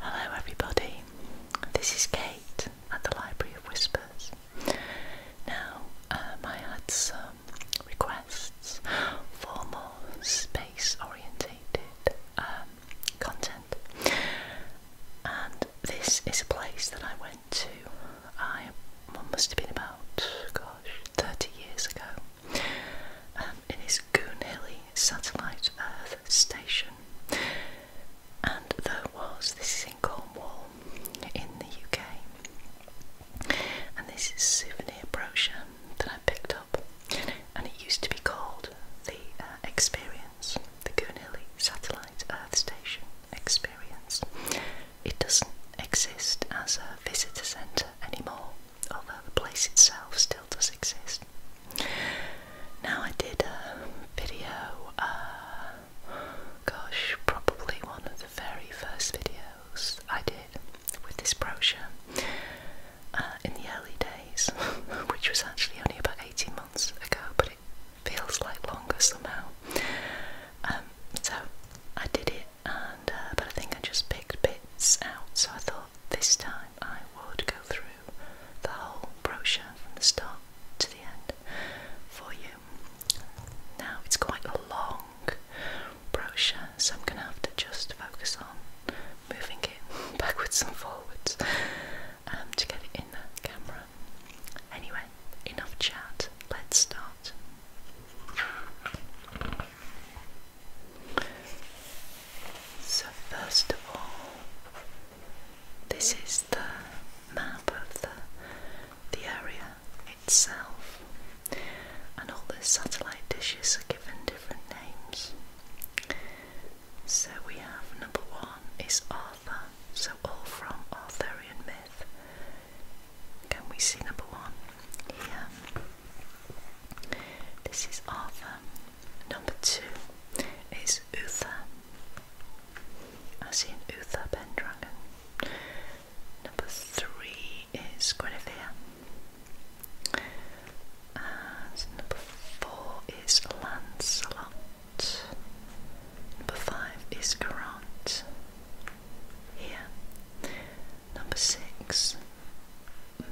Hello, everybody. This is Kate at the Library of Whispers. Now, um, I had some requests for more space oriented um, content, and this is a place that I went to. I must have been about, gosh, 30 years ago. Um, in his Goonhilly satellite Earth station. And there was, this is Wall in the UK, and this is a souvenir brochure that I picked up, and it used to be called the uh, Experience, the Goonhilly satellite Earth station experience. It doesn't exist as a visitor centre anymore although the place itself still does exist. Now, I did a video, uh, gosh, probably one of the very first videos I did with this brochure uh, in the early days, which was actually only about 18 months ago, but it feels like longer somehow. Um, so I did it, and uh, but I think I just picked bits out, so I thought this time I would go through the whole brochure from the start to the end for you. Now it's quite a long brochure, so I'm going to have to just focus on moving it backwards and forwards um, to get it in the camera. Anyway, enough chat, let's start. So, first of all, this is the map of the, the area itself, and all the satellite dishes are given different names. So, we have number one is Arthur, so all from Arthurian myth. Can we see number one? Here. This is Arthur. Number two is Uther, as in Uther Pendragon. Number three is Guinevere. And number four is Lancelot. Number five is Grant. Here. Number six,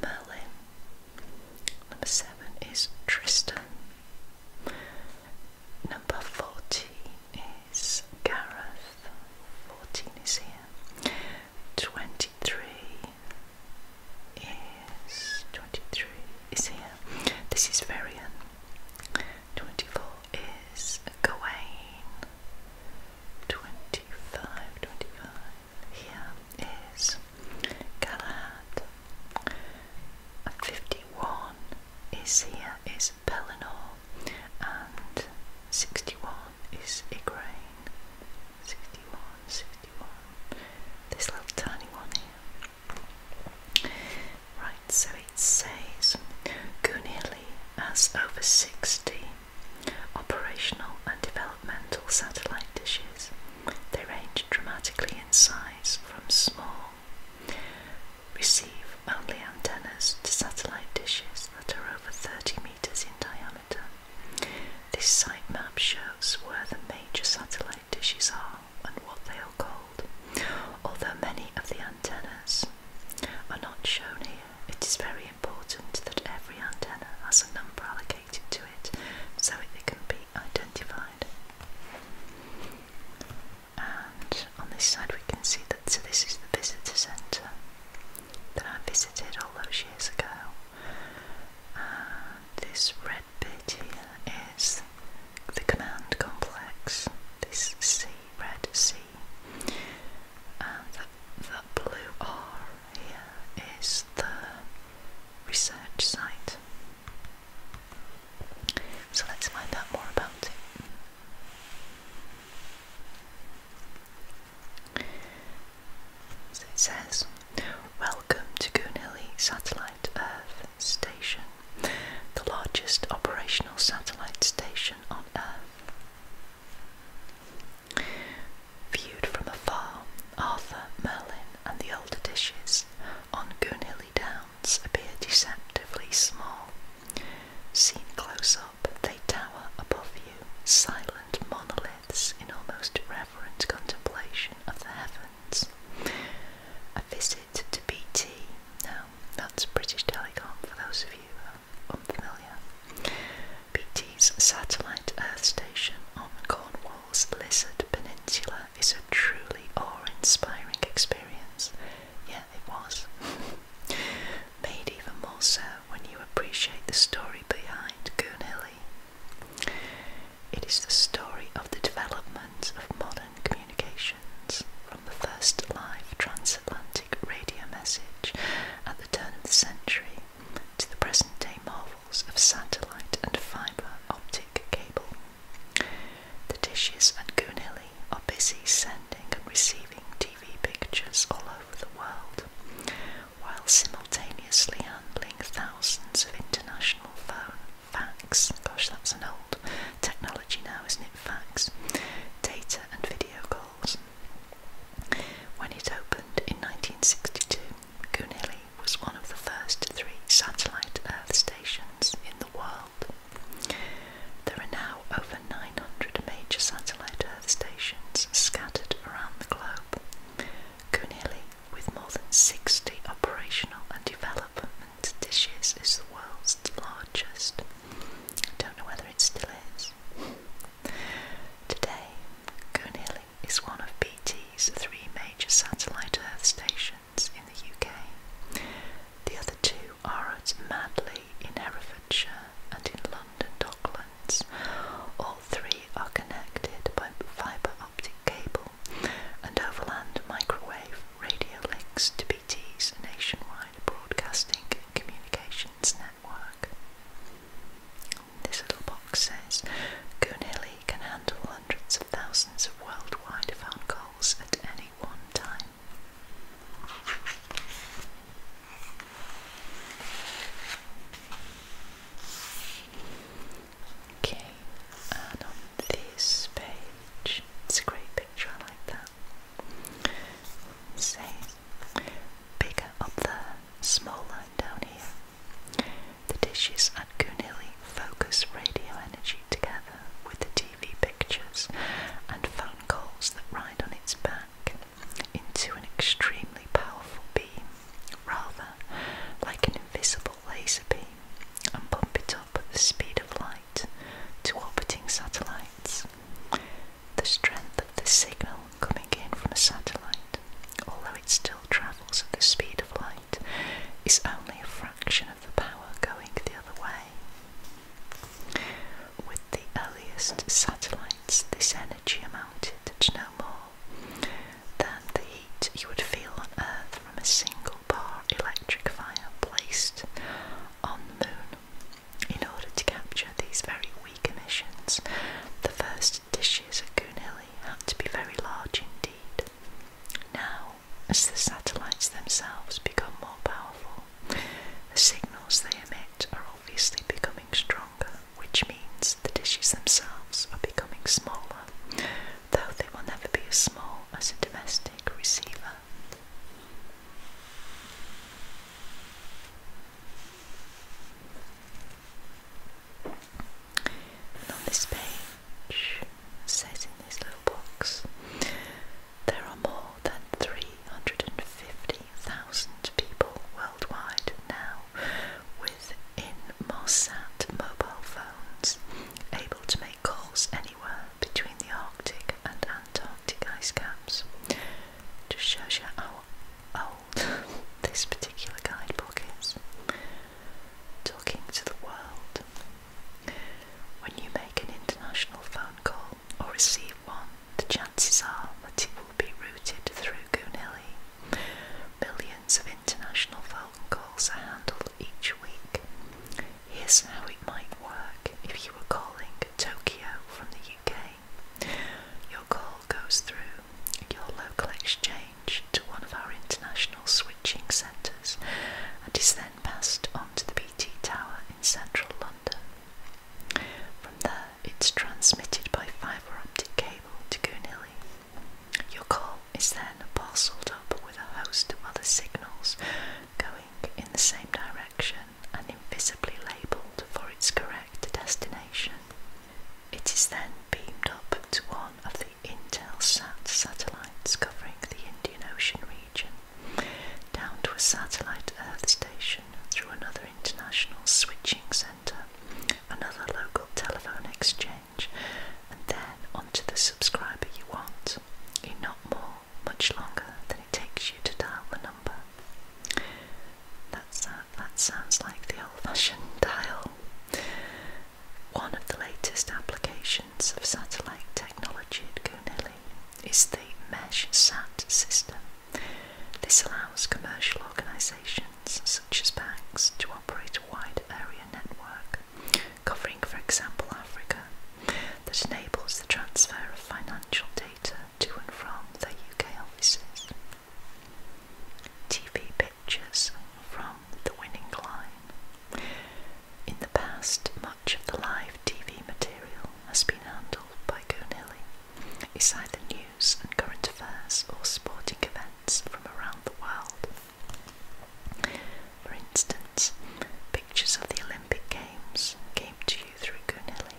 Merlin. Number seven is Tristan. Number fourteen is Gareth. Fourteen is here. Twenty-three is twenty-three is here. This is Varian. Twenty-four is Gawain. 25, 25 here is Galahad. 51 is here is Pelennor and 61 is Igraine. 61, This little tiny one here. Right, so it says Gunili has over 60 Operational and developmental satellite dishes, they range dramatically in size from small receive only antennas to satellite dishes that are over 30 metres in diameter. This site map shows where the major satellite dishes are and what they are called. Although many of the antennas are not shown here, it is very important that every antenna has a number allocated to it so it can be identified. And on this side, we can see that so this is the visitor centre that I visited all those years ago. this red bit here is the command complex, this C, red C. And that, that blue R here is the research site. So let's find out more about it. it says, Welcome to Goonhilly Satellite Earth Station, the largest operational satellite station on Earth. Viewed from afar, Arthur, Merlin, and the older dishes on Goonhilly Downs appear deceptively small. Seen close up, they tower above you, silent monoliths in almost reverent contemplation of the heavens. A visit to BT, now that's British Telecom for those of you who are unfamiliar, BT's satellite Earth station on Cornwall's Lizard Peninsula is a truly awe-inspiring experience. Yeah, it was. Made even more so when you appreciate the story behind Goonhilly. It is the story of the development of modern communications from the first live transatlantic radio message at the turn of the century to the present day marvels of satellite and fibre optic cable. The dishes at Goonhilly are busy sending and receiving TV pictures all over the world, while simultaneously handling thousands of international fax, gosh that's an old technology now isn't it, fax, data and video calls. When it opened in 1962, Goonilly was one of the first three satellite Earth stations in the world. There are now over 900 major satellite Earth stations scattered around the globe. Goonilly, with more than 60 operational and development dishes, is the world's largest. don't know whether it still is. Today, Goonhilly is one of BT's three major satellite Earth stations in the UK. The other two are at Madley in Herefordshire and in London Docklands. All three are connected by fibre optic cable and overland microwave radio links to BT's nationwide broadcasting and communications network. This little box says Goonhilly can handle hundreds of thousands of worldwide phone calls at any one time. Okay, and on this page, it's a great picture, I like that. says bigger up there, smaller down here. The dishes at Goonilly focus radio energy together with the TV pictures and phone calls that ride on its back into an extremely powerful beam, rather like an invisible laser beam, and bump it up at the speed of light to orbiting satellites the strength of the signal coming in from a satellite, although it still travels at the speed of light, is only a fraction of the power going the other way. With the earliest satellites, this energy amounted to no more than the heat you would feel on Earth from a single bar electric fire placed on the moon. In order to capture these very weak the first dishes at Goonhilly had to be very large indeed. Now, as the satellites themselves become more powerful, the signals they emit are obviously becoming stronger, which means the dishes themselves are becoming smaller, though they will never be as small as a domestic receiver on this page, says in this little box, there are more than 350,000 people worldwide now with Inmarsat mobile phones, able to make calls anywhere between the Arctic and Antarctic ice caps. Just shows you how old this particular guidebook is. Talking to the world. When you make an international phone call or receive one, the chances are that it will be routed through Goonhilly. Millions of international phone calls are handled each week. Here's how it might work if you were calling Tokyo from the UK your call goes through your local exchange to one of our international switching centres and is then passed on to the BT Tower in central London. From there, it's transmitted by fibre optic cable to Goonhilly. Your call is then parcelled up with a host of other signals going in the same direction and invisibly labelled for its correct destination. It is then beamed up to one of the Intelsat satellites covering the Indian Ocean region, down to a satellite Earth station through another international switching centre, another local telephone exchange, and then onto the subscriber you want in not more, much longer than it takes you to dial the number. That's that sounds like the old-fashioned dial. One of the latest applications of satellite technology at Goonhilly is the Mesh Sat system. This allows commercial organisations such as banks to operate a wide area network, covering, for example, Africa, that enables the transfer of financial data to and from their UK offices. TV pictures from the winning line. In the past, much of the live TV material has been handled by Gonilly. It's the news and current affairs or sporting events from around the world. For instance, pictures of the Olympic Games came to through Goonelli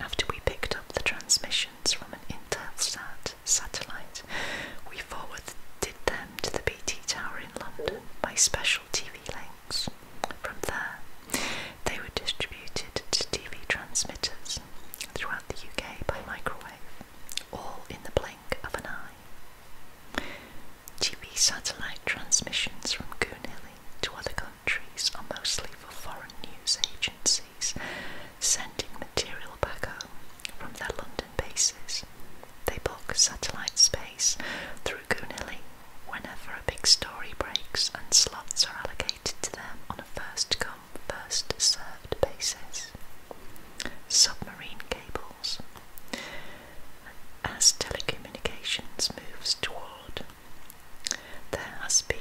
after we picked up the transmissions from an Intelsat satellite. We forwarded them to the BT Tower in London by special TV links. From there, they were distributed to TV transmitters throughout the UK by microwave, all in the blink of an eye. TV satellite transmissions from Goonhilly to other countries are mostly for foreign news agencies sending material back home from their London bases. They book satellite space through Goonilly whenever a big story breaks, and slots are allocated to them on a first come, first served basis. Submarine cables. As telecommunications moves toward, there has been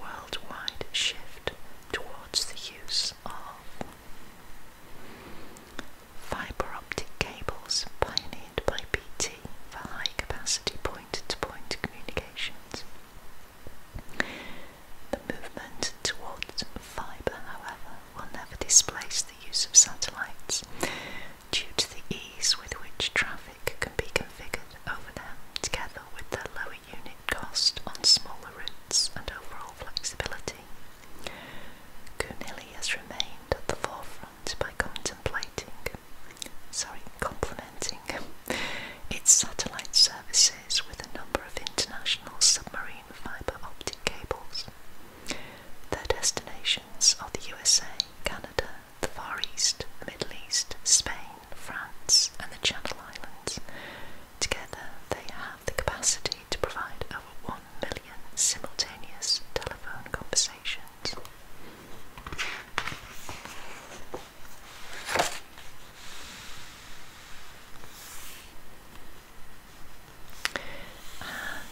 worldwide shift towards the use of fibre optic cables pioneered by BT for high capacity point to point communications. The movement towards fibre, however, will never displace the use of satellites due to the ease with which traffic can be configured over them together with the lower unit cost on smaller routes and overall flexibility. Kunili has remained at the forefront by contemplating, sorry, complementing its satellite services with a number of international submarine fibre optic cables. Their destinations are the USA, Canada, the Far East, the Middle East, Spain, France, and the Channel Islands. Together, they have the capacity to provide over 1 million simultaneous telephone conversations.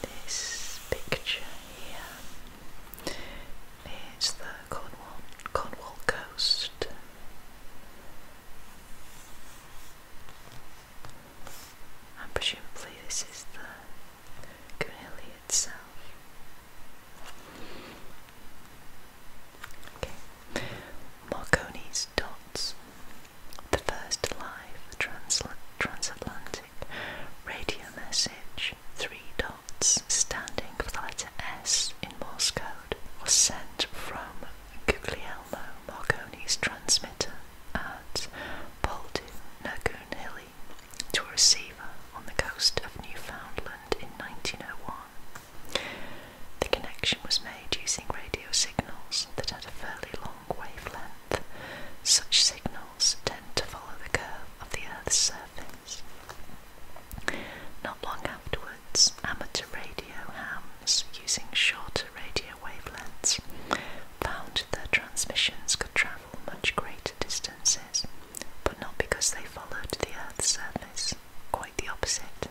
this picture here it's the Cornwall, Cornwall coast. And presumably this is the Cornelia itself. Okay. Marconi's dots. The first live transatlantic radio message, 3 dots standing for the letter S in Morse code was sent from Guglielmo Marconi's transmitter at Poldu Nagunhili to a receiver on the coast of Newfoundland in 1901. The connection was made using radio signals that had a fairly long wavelength. Such signals tend to follow the curve of the Earth's surface. Not long afterwards, amateur radio hams using shorter radio wavelengths found their transmissions could travel much greater distances, but not because they followed the Earth's surface, quite the opposite.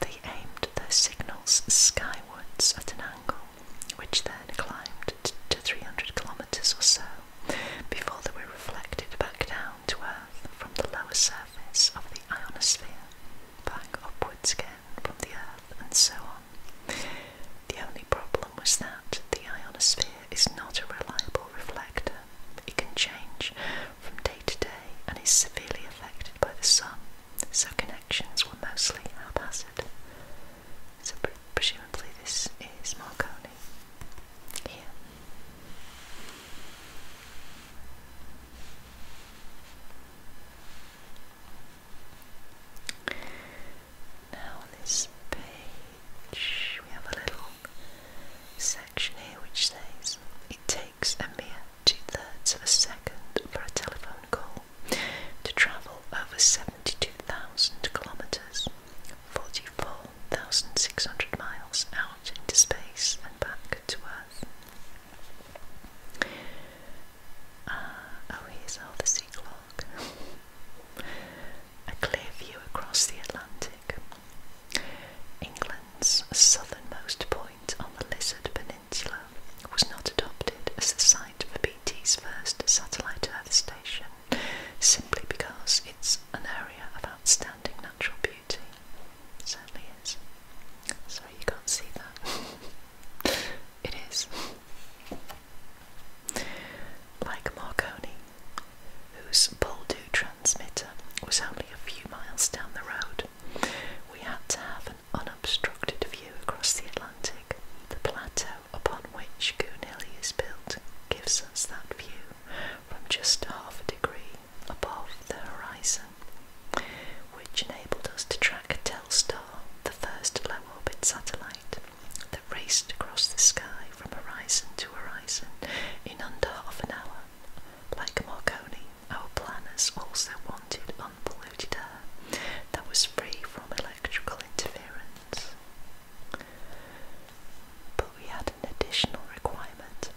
They aimed their signals skywards at an angle, which then climbed to 300 kilometres or so before they were reflected back down to Earth from the lower surface of the ionosphere, back upwards again from the Earth, and so on. The only problem was that the ionosphere is not a reliable reflector. It can change from day to day and is severely affected by the sun, so connections were mostly haphazard. So presumably this is Marconi here. Now on this page we have a little section here which says it takes a mere two thirds of a second for a telephone call to travel over 72,000 kilometres, 44 1,600 miles out into space and back to Earth. Uh, oh, here's all sea clock. A clear view across the Atlantic. England's southernmost point on the Lizard Peninsula was not adopted as the site for BT's first satellite Earth station simply because it's an area of outstanding natural beauty. certainly is. Sorry you can't see that. it is. Like Marconi, whose Boldu transmitter was only a few miles down the road, we had to have an unobstructed view across the Atlantic. The plateau upon which Goon is built gives us that view from just half a degree above the horizon, which enabled us to track Telstar, the first low orbit satellite that raced across the sky from horizon to horizon in under half an hour. Like Marconi, our planners also wanted unpolluted air that was free from electrical interference. But we had an additional requirement.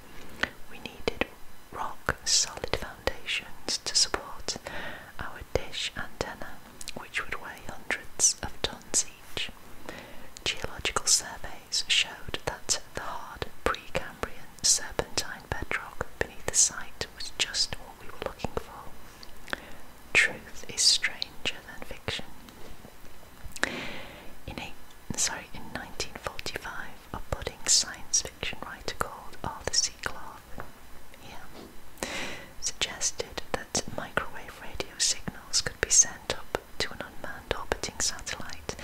We needed rock solid foundations to support our dish antenna, which would weigh hundreds of tons each. Geological surveys showed that the hard Precambrian serpentine bedrock beneath the site was just what we were looking for. Truth is stranger than fiction. In eight, sorry, in 1945, a budding science fiction writer called Arthur C. Clarke suggested that microwave radio signals could be sent up to an unmanned orbiting satellite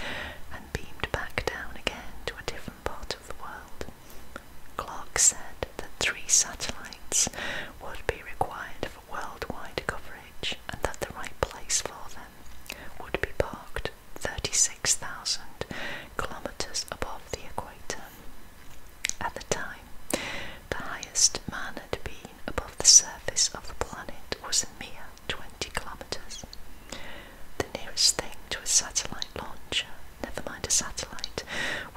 and beamed back down again to a different part of the world. Clark said that three satellites would be required worldwide coverage and that the right place for them would be parked 36,000 kilometres above the equator. At the time, the highest man had been above the surface of the planet was a mere 20 kilometres. The nearest thing to a satellite launcher, never mind a satellite,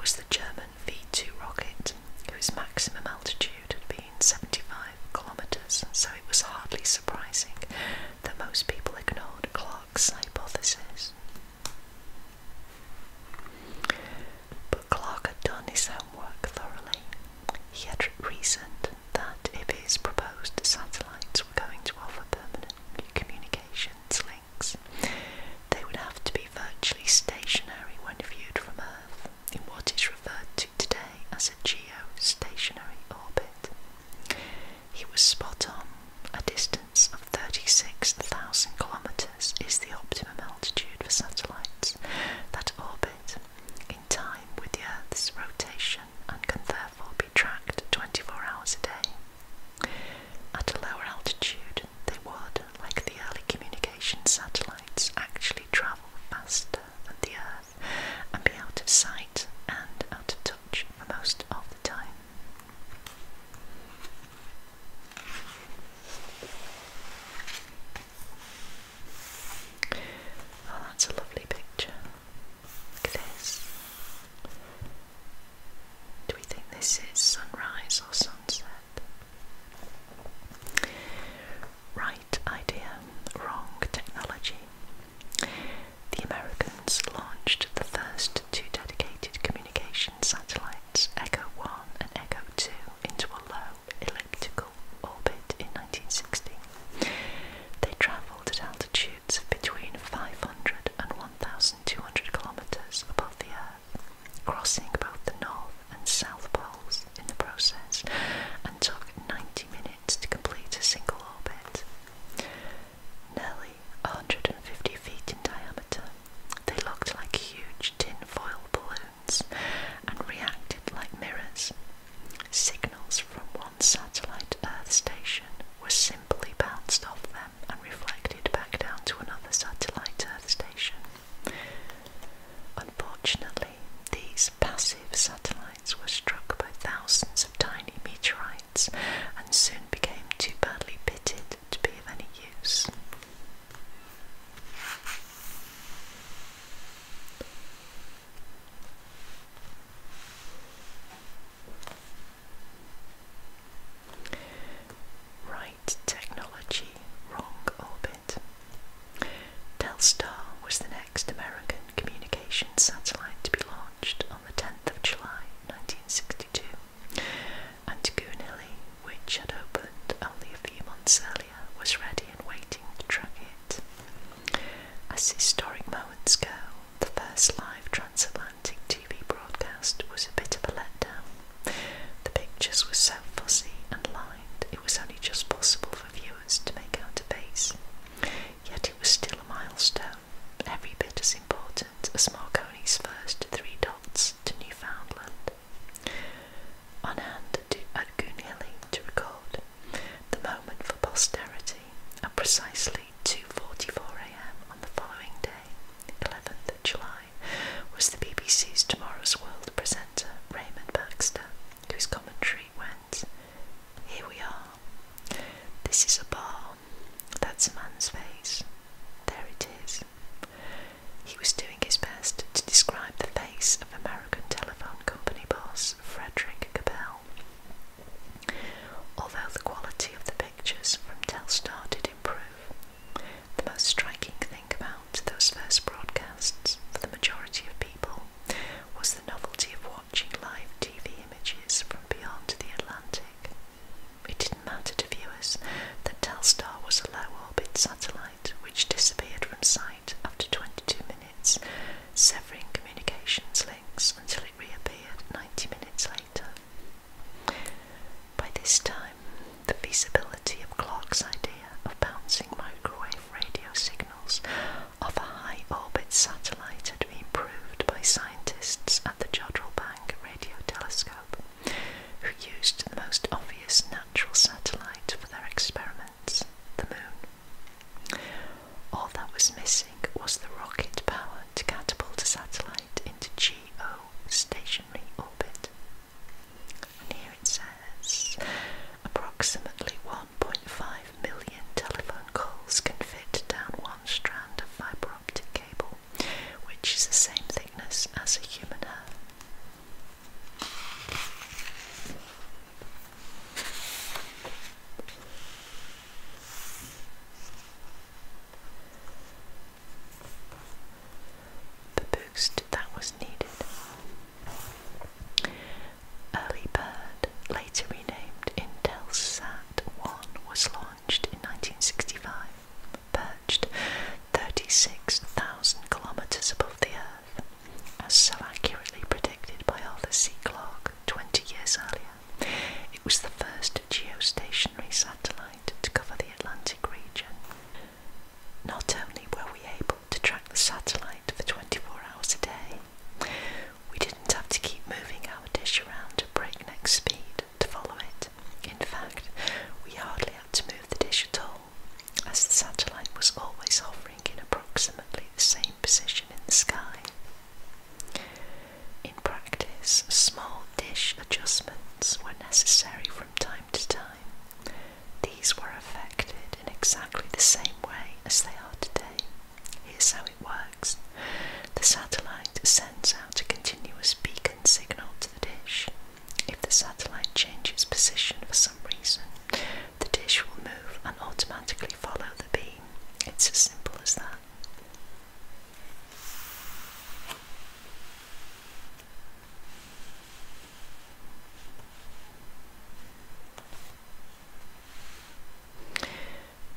was the German Grumman V2 rocket, whose maximum altitude had been 75 kilometres, so it was hardly surprising that most people ignored Clark's hypothesis. But Clark had done his homework thoroughly. He had reasoned that if his proposed satellites were going to offer permanent communications links, they would have to be virtually stationary when viewed from Earth in what is referred to today as a geostationary orbit. He was spot on. A distance of 36,000 kilometres is the optimum altitude for satellites that orbit in time with the Earth's rotation and can therefore be tracked 24 hours a day. At a lower altitude, they would, like the early communication satellites actually travel faster than the Earth and be out of sight and out of touch for most of the time. Oh, that's a lovely picture. Look at this. Do we think this is sunrise or sunset? Right idea, wrong technology. The Americans launched the first two dedicated communication satellites, Echo 1 and Echo 2, into a low elliptical orbit in 1960. They travelled at altitudes between 500 and 1,200 kilometres above the Earth crossing both the North and South Poles in the process, and took 90 minutes to complete a single orbit. Nearly 150 feet in diameter, they looked like huge tin foil balloons and reacted like mirrors. Signals from one satellite Earth station were simply bounced off them and reflected back down to another satellite Earth station. Unfortunately, these passive satellites were struck by thousands of tiny meteorites and soon became too badly pitted to be of any use. Right technology, wrong orbit orbit. Telstar was the next American communication satellite to be launched on the 10th of July 1962, and Goonilly, which had opened only a few months earlier, was ready and waiting to track it. As historic moments go, the first live transatlantic TV broadcast was a bit of a letdown. The pictures were so fuzzy and lined it was only just possible for viewers to make out a base. Yet it was still a milestone, every bit as important as Marconi's first three dots to Newfoundland. On hand at Goonhilly to record the moment for posterity at precisely 2.44am on the following day, 11th of July was the BBC's Tomorrow's World presenter Raymond Baxter, whose commentary went, Here we are. This is a bar. That's a man's face. There it is. He was doing his best to describe the face of American telephone company boss Frederick Cabell. Although the quality of the pictures from Telstar did improve, the most striking thing about those first broadcasts for the majority of people was the novelty of watching live TV images from beyond the Atlantic. It didn't matter to viewers that Telstar was a low orbit satellite which disappeared from sight after 22 minutes, severing communications links until it reappeared 90 minutes later. By this time, the feasibility of Clark's idea of bouncing microwave radio signals off a high orbit satellite had been proved by scientists at the Jodrell Bank Radio Telescope, who used the most obvious natural satellite for their experiments, the Moon. All that was missing was the rocket power to catapult a satellite into GO stationary orbit. And here it says approximately 1.5 million telephone calls can fit down one strand of fibre optic cable, which is the same thickness as a human hair the boost that was needed. Early Bird, later renamed Intelsat 1, was launched in 1965, perched 36,000 kilometres above the Earth, as so accurately predicted by Arthur C. Clarke 20 years earlier. It was the first geostationary satellite to cover the Atlantic region. Not only were we able to track the satellite for 24 hours a day, we didn't have to keep moving our dish around at breakneck speed to follow it. In fact, we hardly had to move the dish at all, as the satellite was always hovering in approximately the same position in the sky. In practice, small dish adjustments were necessary from time to time, these were affected in exactly the same way as they are today. Here's how it works the satellite sends out a continuous beacon signal to the dish. If the satellite changes position for some reason, the dish will move and automatically follow the beam. It's as simple as that.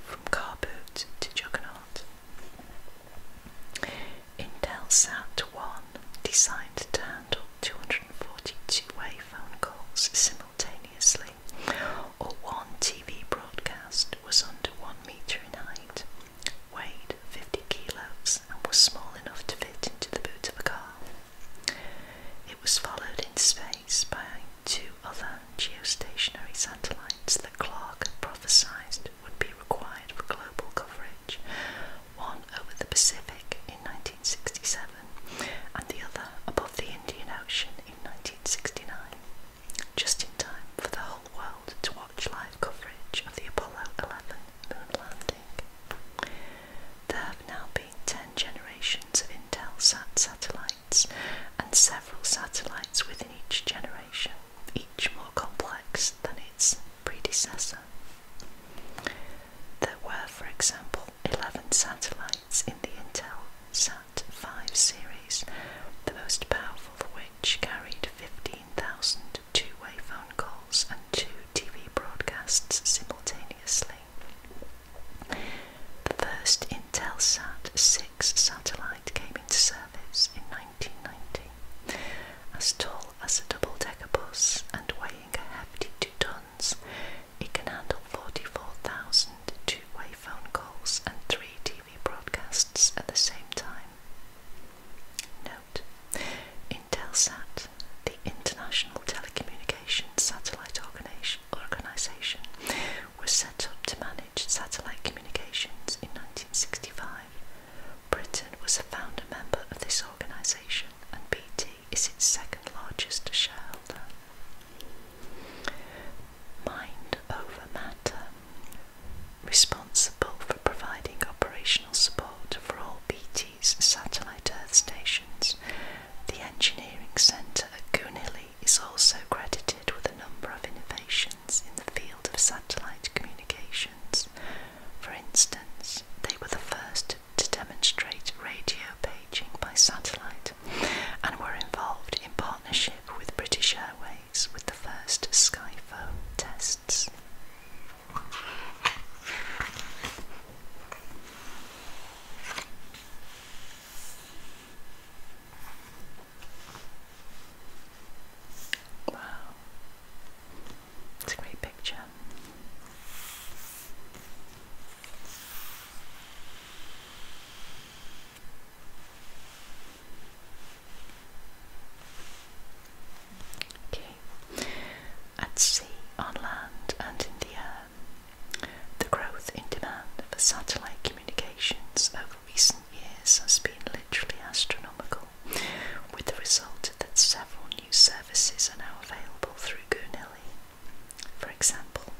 From car boot to juggernaut. Intel Sat 1 designed to handle 242 way phone calls simultaneously, or one TV broadcast was under 1 metre in height weighed 50 kilos and was small enough to fit into the boot of a car. It was followed in space by two other geostationary satellites that Clark had prophesied would be required for global coverage, one over the Pacific in 1967 and the other above the Indian Ocean in 1969, just in time for the whole world to watch live coverage of the Apollo 11 the Atlantic. There have now been 10 generations of Intel Sat satellites and several satellites within each generation, each more complex than its predecessor. There were, for example, 11 satellites in the Intel Sat 5 series, the most powerful of which carried 50 15,000 two-way phone calls and two TV broadcasts simultaneously. The first Intelsat 6 satellite came into service in 1990, as tall as a double-decker bus and weighing a hefty two tons. It can handle 44,000 two-way phone calls and three TV broadcasts at the same time out. Intelsat, the International Telecommunications Satellite Organization, was set up to manage satellite communications in 1965. Britain was a founder member of this organization, and BT is its second largest shareholder. Mind over matter responsible for providing operational support for all BT's satellite Earth stations. The engineering centre at Goonilly is also credited with a number of innovations in the field of satellite communications. For instance, they were the first to demonstrate radio paging by satellite and were involved in partnership with British Airways with the first Skyphone tests. Wow, it's a great picture. At sea, on land, and in the air, the growth in demand for satellite communications over recent years has been literally astronomical, with the result that several new services are now available through Goonilly. For example,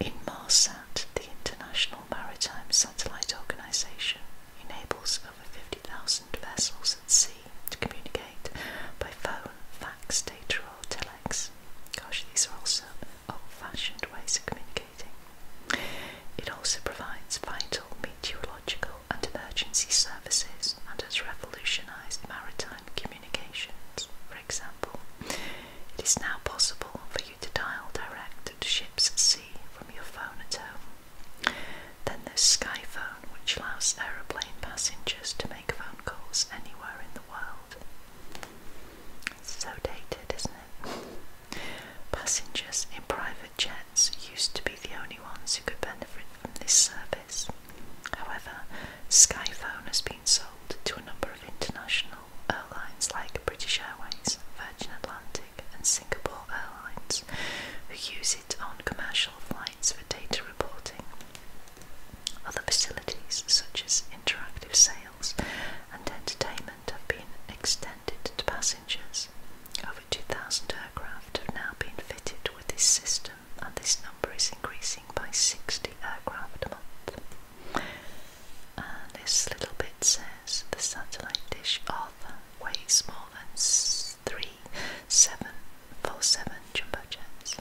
in MARSAT, the International Maritime Satellite Organization enables over 50,000 vessels at sea to communicate by phone, fax, data, or telex. Gosh, these are also old-fashioned ways of communicating. It also provides vital meteorological and emergency services and has revolutionised maritime communications. For example, it is now possible for you to dial direct to ships at sea from your phone at home then there's Skyphone, which allows aeroplane passengers to make phone calls anywhere in the world. It's so dated, isn't it? Passengers in private jets used to be the only ones who could benefit from this service. However, Skyphone has been sold to a number of international airlines like British Airways, Virgin Atlantic and Singapore Airlines, who use it on commercial flights for data reporting. Other facilities, such as interactive sales and entertainment, have been extended to passengers. Over 2,000 aircraft have now been fitted with this system, and this number is increasing by 60 aircraft a month. this little bit says the satellite dish of weighs more than 3747 jumbo jets.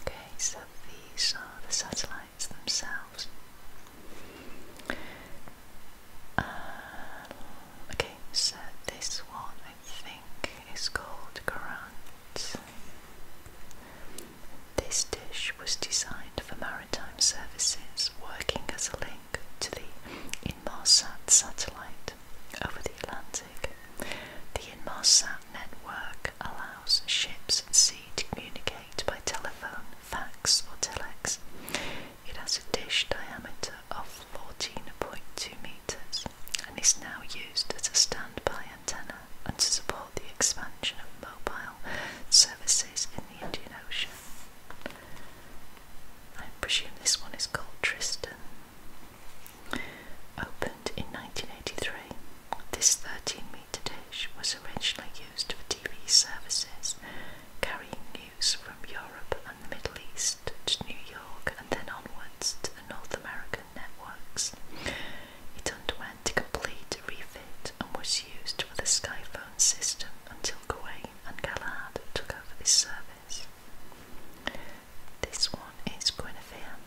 Okay, so these are the satellites themselves. Uh, okay, so this one think is called Garant. This dish was designed for maritime services, working as a link to the Inmarsat satellite over the Atlantic. The Inmarsat network allows ships at sea to communicate by telephone, fax, or telex. It has a dish diameter of 14.2 meters and is now used as a standby antenna and to support the expansion of mobile services in the Indian Ocean. I presume this one is called Tristan. Opened in 1983, this 13 metre dish was originally used for TV services, carrying news from Europe and the Middle East. To New York and then onwards to the North American networks. It underwent a complete refit and was used for the Skyphone system until Gawain and Galahad took over this service. This one is Guinevere.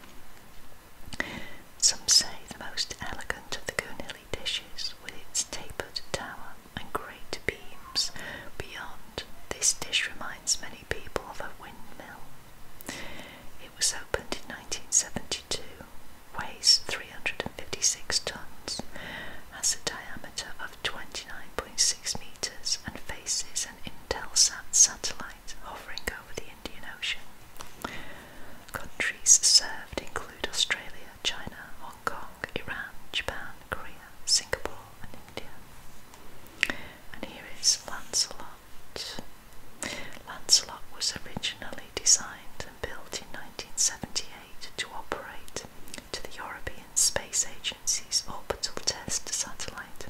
Some say the most elegant of the Goonilly dishes with its tapered tower and great beams beyond. This dish reminds me people of a windmill. It was opened in 1972, weighs 356 tons, has a diameter of 29.6 metres, and faces an Intelsat satellite hovering over the Indian Ocean. Countries served include Australia, China, Hong Kong, Iran, Japan, Korea, Singapore, and India. And here is Lancelot. Lancelot was originally designed and built in 1978 to operate to the European Space Agency's orbital test satellite.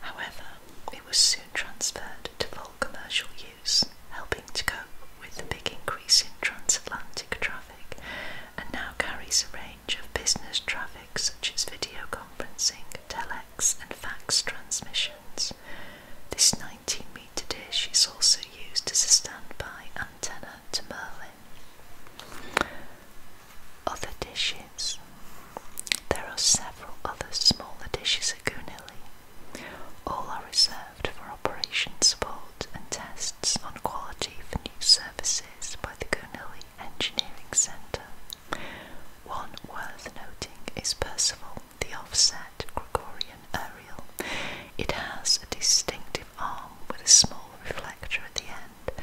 However, it was soon transferred to full commercial use, helping to cope with the big increase in transatlantic traffic and now carries a range of business traffic such as video conferencing, telex, and fax transmissions. This 19 metre dish is also used as a standby antenna to Merlin. Other dishes. There are several other smaller dishes at Goonilly. All are reserved for operation support and tests on quality for new services by the Goonilly Engineering Centre. One worth noting is Percival, the offset Gregorian aerial. It has a distinctive arm with a small reflector at the end,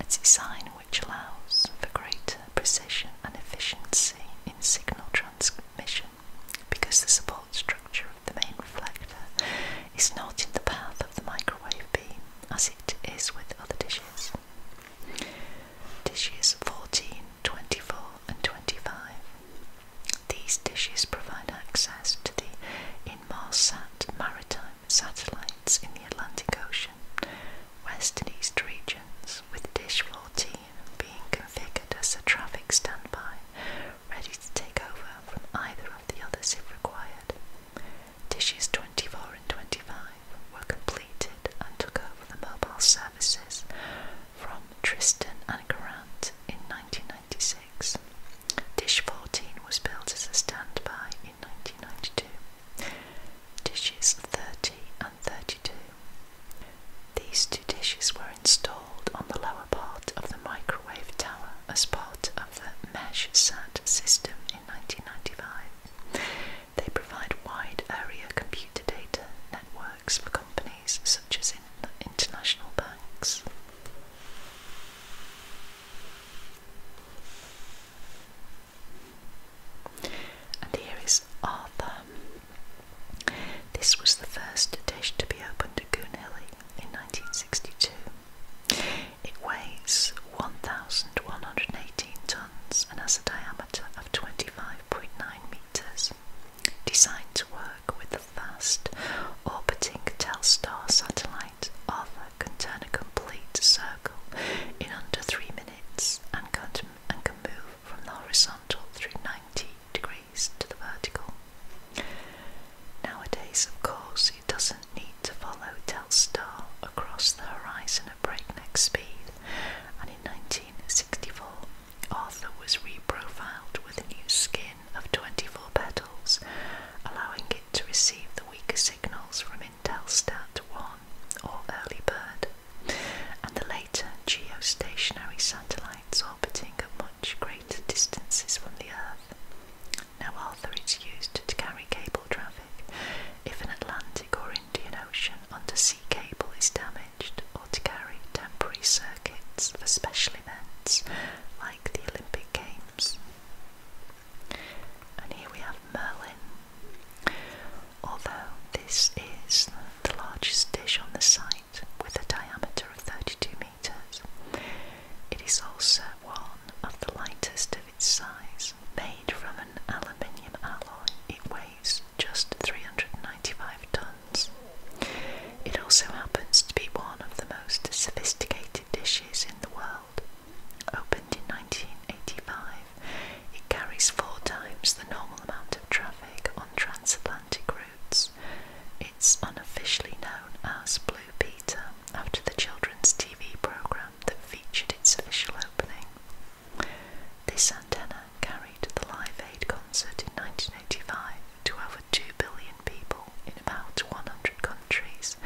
a design which allows for greater precision and efficiency in signal transmission because the support structure of the main reflector is not in the path of the microwave beam as it is with other dishes. Dishes 14, and 25. These dishes provide access to the Inmarsat maritime satellites in the Atlantic Ocean, West and East regions, with dish 14 being configured as a traffic standby, ready to take over from either of the others if required. Dishes 24 and 25 were completed and took over the mobile services from Tristan and Grant in 1996. Dish 14 was built as a standby in 1992. Dishes 30 and 32. These two dishes were installed on the lower part of the microwave tower as part of the mesh SAT system in 1995. They provide wide area computer data networks for companies such as international banks. And here is Arthur. This was the first dish to be opened at Goonhilly in 1962. It weighs 1,118 tons and has a diameter of 25.9 meters. Designed to work with the fast orbiting Telstar satellite, Arthur can turn a complete circle in under three minutes and can, and can move from the horizontal through 90 degrees to the vertical. Nowadays, of course, who doesn't need to follow Telstar across the horizon at breakneck speed, and in 1964 Arthur was reprofiled with a new skin of 24 petals, allowing it to receive the weaker signals from Intelstat 1 or Early Bird, and the later geostationary satellites orbiting at much greater distances from the Earth. Now Arthur is used to carry cable traffic if an Atlantic or Indian Ocean undersea cable is damaged or to carry temporary circuits for special events like the Olympic Games. And here we have Merlin. Although this is the largest dish on the site with a diameter of 32 metres, it is also one of the lightest its size, made from an aluminium alloy, it weighs just 395 tons. It also happens to be one of the most sophisticated dishes in the world. Opened in 1985, it carries four times the normal amount of traffic on transatlantic routes. It's unofficially known as Blue Peter after the children's TV program that featured its official opening. This antenna carried the Live Aid concert in 1985 to over 2 billion people in about 100 countries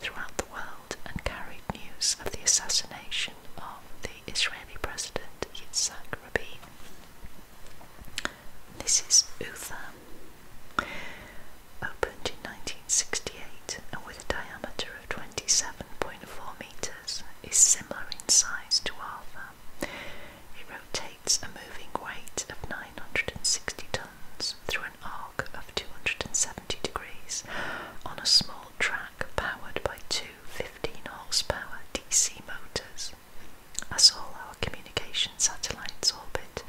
throughout the world and carried news of the assassination of the Israeli president Yitzhak Rabin. This is Utha opened in 1968 and with a diameter of 27.4 metres, is similar in size to Arthur. It rotates a moving weight of 960 tonnes through an arc of 270 degrees on a small track powered by two 15 horsepower DC motors. As all our communication satellites orbit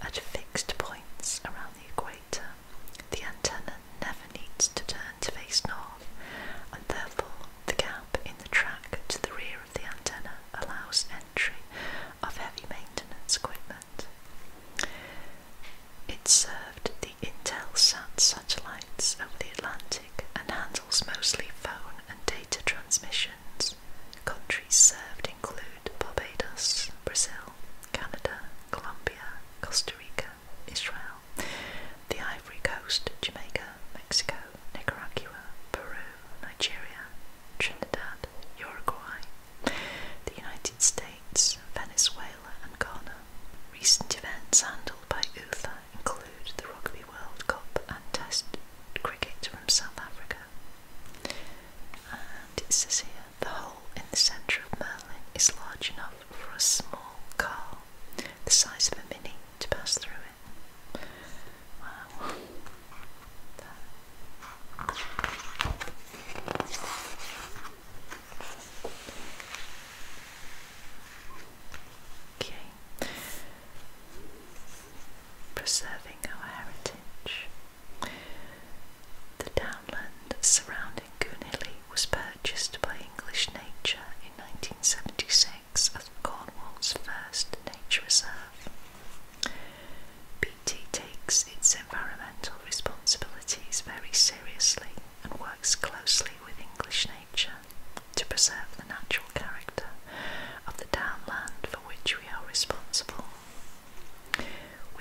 at fixed points around the equator, the antenna never needs to turn to face north, and therefore the gap in the track to the rear of the antenna allows entry of heavy maintenance equipment. It served the Intelsat satellites over the Atlantic and handles mostly phone and data transmissions. Countries served include Barbados, Brazil, Canada, Colombia, Costa Rica, Israel, the Ivory Coast, Jamaica, Mexico, Nicaragua, Peru, Nigeria, Trinidad, Uruguay, the United States, Venezuela, and Ghana. Recent events handled by UTHA include the Rugby World Cup and Test cricket from South Africa. And it says here the hole in the centre of Merlin is large enough for a small car, the size of a mini, to pass through it. Wow. Okay. Preserving our heritage. The downland surrounding Goonhilly was purchased by English Nature in 1976 as Cornwall's first nature reserve. BT takes its environmental responsibilities very seriously and works closely with English Nature to preserve the natural character of the downland for which we are responsible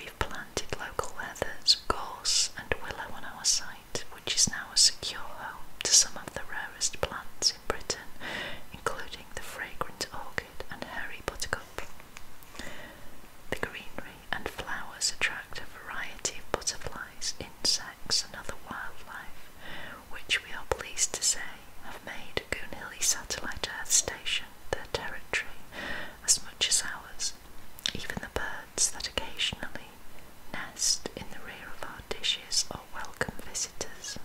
we've planted local heathers, gorse, and willow on our site, which is now a secure home to some of the rarest plants in Britain, including the fragrant orchid and hairy buttercup. The greenery and flowers attract a variety of butterflies, insects, and other wildlife, which we are pleased to say have made Goonhilly Satellite Earth Station their territory as much as ours. Even the birds that occasionally nest in the rear of our dishes or welcome visitors.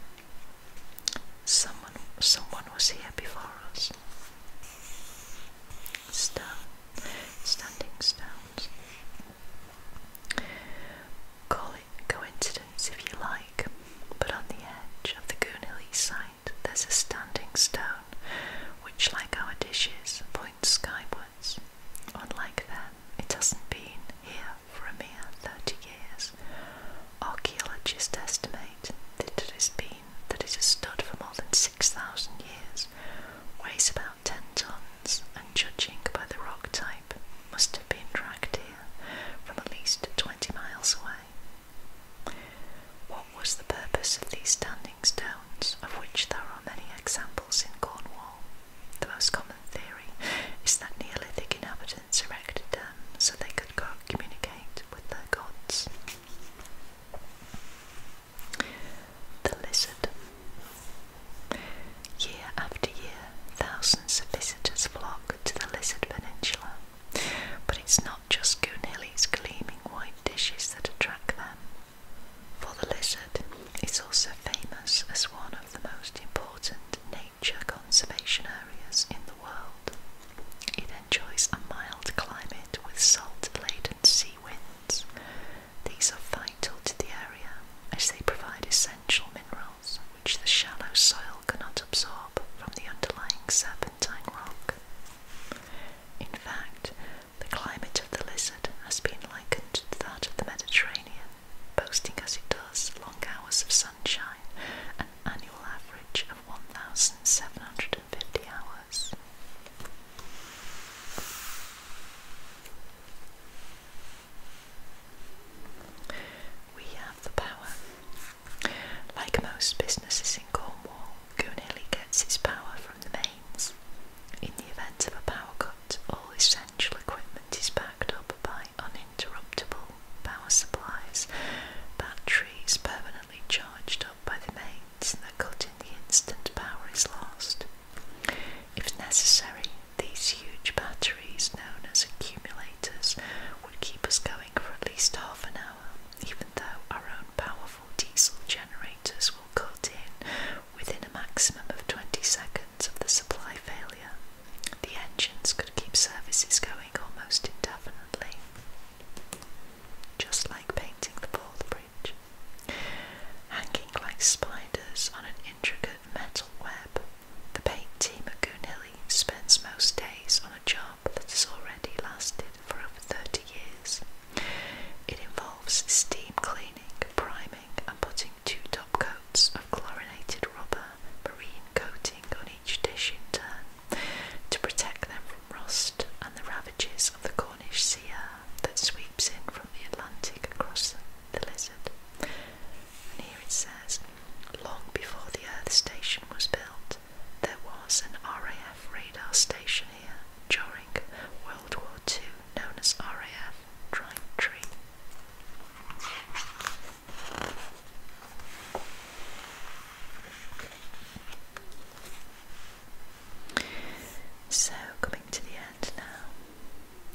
Someone, someone was here before us. Stone, standing stones. Call it coincidence if you like, but on the edge of the Goonhilly site there's a standing stone, which, like our dishes, points skywards. Unlike them, it hasn't been here for a mere 30 years. Archaeologists estimate that it has been that it has stood for more than 6,000 years, weighs about 10 tons, and judging by the rock type, must have been dragged here from at least 20 miles away. What was the purpose of these standing stones, of which there are many examples in Cornwall? The most common theory is that Neolithic inhabitants erected them so they could communicate with their gods. The lizard. Year after year, thousands of visitors flock to the Lizard Peninsula, but it's not not just Goonhilly's gleaming white dishes that attract them, for the lizard it's also famous as one of the most important nature conservation areas in the world. It enjoys a mild climate with salt-laden sea winds. These are vital to the area as they provide essential minerals which the shallow soil cannot absorb from the underlying serpentine rock. In fact, the climate of the lizard has been likened to that of the Mediterranean, boasting as it does long hours of sunshine an annual average of 1,750 hours. We have the power like most businesses in Cornwall, Goonhilly gets its power from the mains. In the event of a power cut, all essential equipment is backed up by uninterruptible power supplies, batteries permanently charged up by the mains that cut in the instant power is lost. If necessary, these huge batteries, known as accumulators, would keep us going for at least half an hour, even though our own powerful diesel generators will cut in within a maximum of 20 seconds of the supply failure. The engines could keep services going almost indefinitely, just like painting the Paul Bridge. Hanging like spiders on an intricate metal web, the paint team at Goonhilly spends most days on a job that has already lasted for over 30 years. It involves steam cleaning, priming, and putting two top coats of chlorinated rubber marine coating on each dish in turn to protect them from rust and the ravages of the Cornish sea air that sweeps in from the Atlantic across the lizard. And here it says, long before the Earth Station was built, there was an RAF radar station here during World War II known as RAF Tree. So, coming to the end now,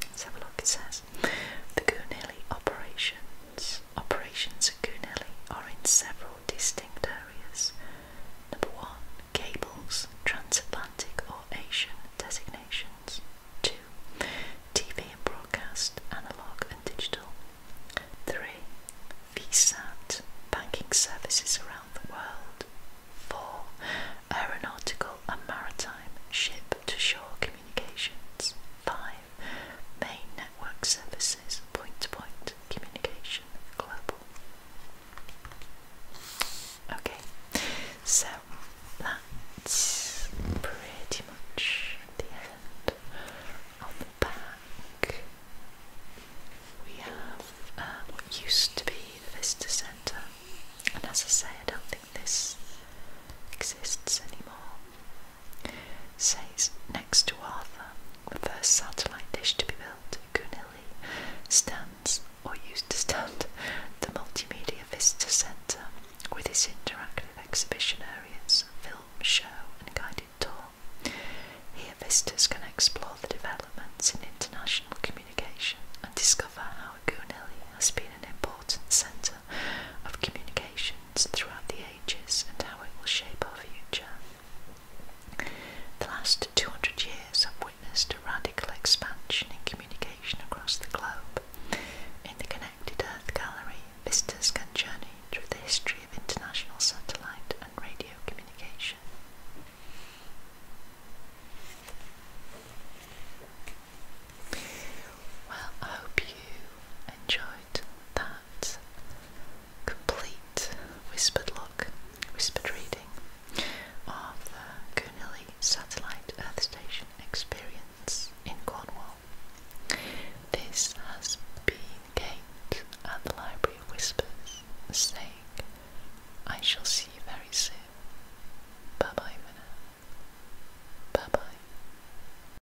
let's have a look. It says the Goonelli operations. Operations at Goonelli are in several distinct areas. Number one, cables, transatlantic or Asian designations. Two, TV and broadcast, analog and digital. Three, VSAT, banking services around the world. Four, aeronautical and maritime, ship to shore communications. Five, main Work services, point-to-point -point communication, global. Okay, so that's pretty much the end. On the back, we have uh, what used to be the Vista Centre, and as I say, I don't think this exists anymore says next to Arthur, the first satellite dish to be built at Goonhilly stands, or used to stand, the Multimedia Visitor Centre with its interactive exhibition areas, film, show and guided tour. Here visitors can explore the developments in international communication and discover how Goonhilly has been an important centre of communications throughout the ages and how it will shape our future. The last 200 years have witnessed a radical expansion in communication across the globe. In the Connected Earth Gallery, visitors can journey through the history of international satellite and radio communication. Well, I hope you enjoyed that complete whispered look, whispered reading of the Goonilly Satellite Earth Station experience in Cornwall. This has been Kate at the Library Whispers saying, I shall see you very soon. Bye bye Minna. Bye bye.